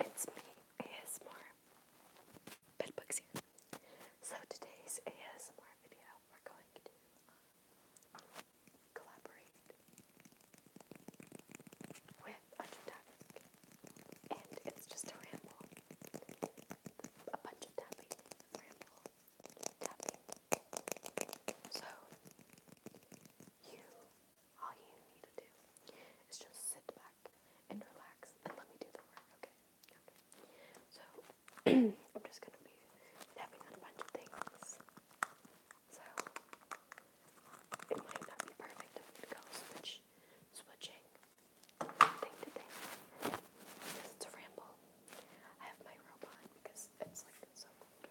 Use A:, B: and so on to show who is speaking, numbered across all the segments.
A: It's me, ASMR Bedbugs here. So today's ASMR video, we're going to um, collaborate with Undertapping. And it's just a ramble. A bunch of tapping, ramble, tapping. So, you all you need to do is just sit back and relax and let me do the work, okay? So, I'm just gonna be having a bunch of things. So, it might not be perfect if we go switch, switching thing to thing. Because it's ramble. I have my robot because it's like so cold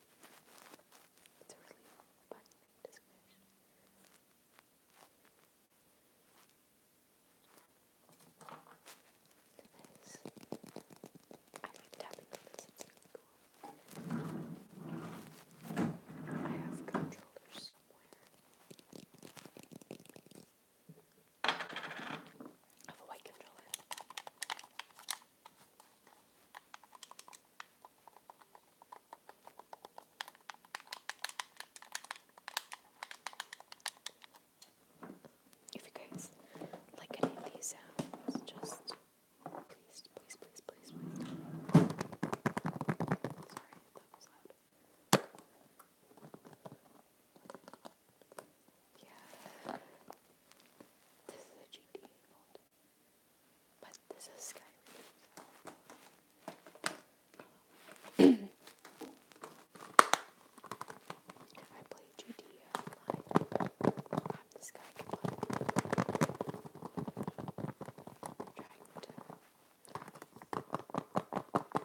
A: It's a really fun description. Nice. I like tapping on this, it's really cool. I have controllers somewhere. I have a white controller. If you guys like any of these sounds, just please, please, please, please, please. Sorry, that was loud. Yeah. This is a GT mold. But this is Skyrim. I um, play Judea I'm the Sky Goblin. Trying to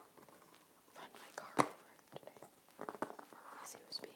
A: run my car over today. As he was being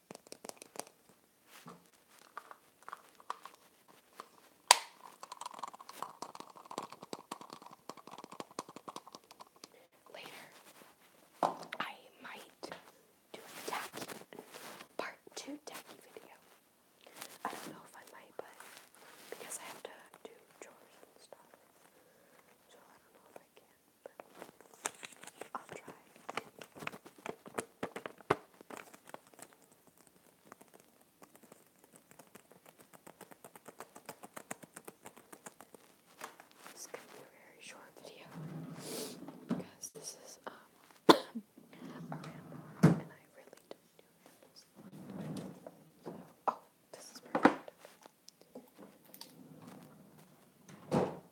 A: Later, I might do a tacky part two tacky video. I don't know if I might, but because I have to do chores and stuff, so I don't know if I can. But I'll try. This could be a very short video because this is um a ramble and I really don't do rambles. oh, this is perfect.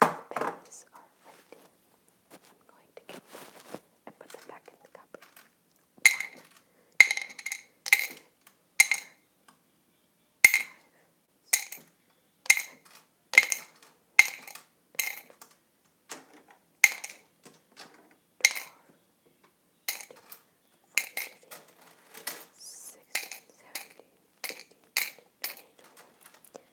A: Pennies are empty. I'm going to count them and put them back in the cup. One, two, three, Sixteen, seventeen, eighteen, twenty, twenty-one,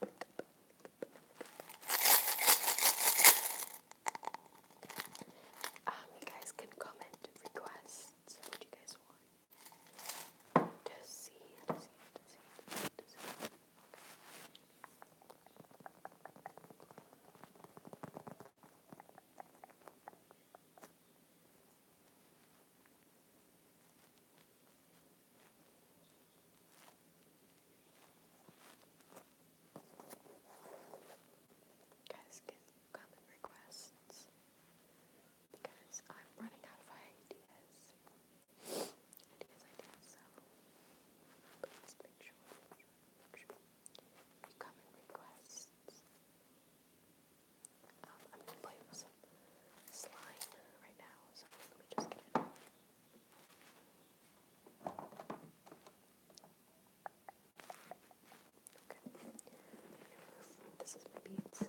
A: Um, you guys can comment requests what you guys want to see, guys can comment requests because I'm running out of ideas. Ideas, ideas, so please make sure, make sure you comment requests. Um, I'm going to play with some slime right now, so let me just get it. Okay. This is my beads.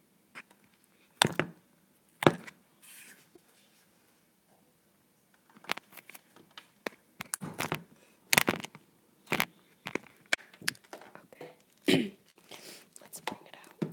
A: Okay. Let's bring it out.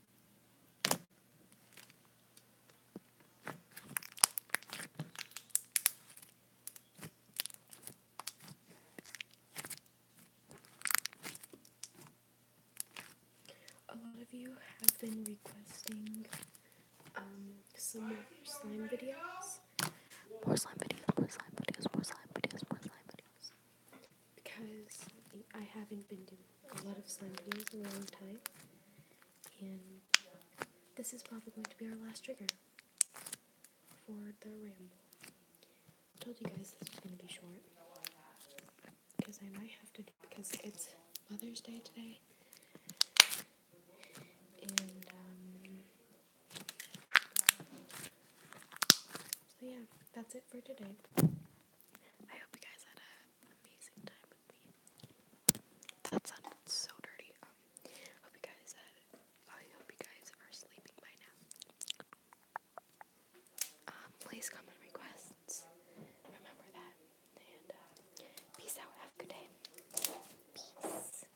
A: A lot of you have been requesting um, some more slime videos. More slime videos, more slime videos, more slime videos, more slime videos because I haven't been doing a lot of slime videos in a long time, and this is probably going to be our last trigger for the ramble. told you guys this was going to be short, because I might have to because it's Mother's Day today, and um, so yeah, that's it for today. I hope you guys had an amazing time with me. That sounded so dirty. Um, hope you guys had. I hope you guys are sleeping by now. Um, please comment requests. Remember that. And uh, peace out. Have a good day. Peace.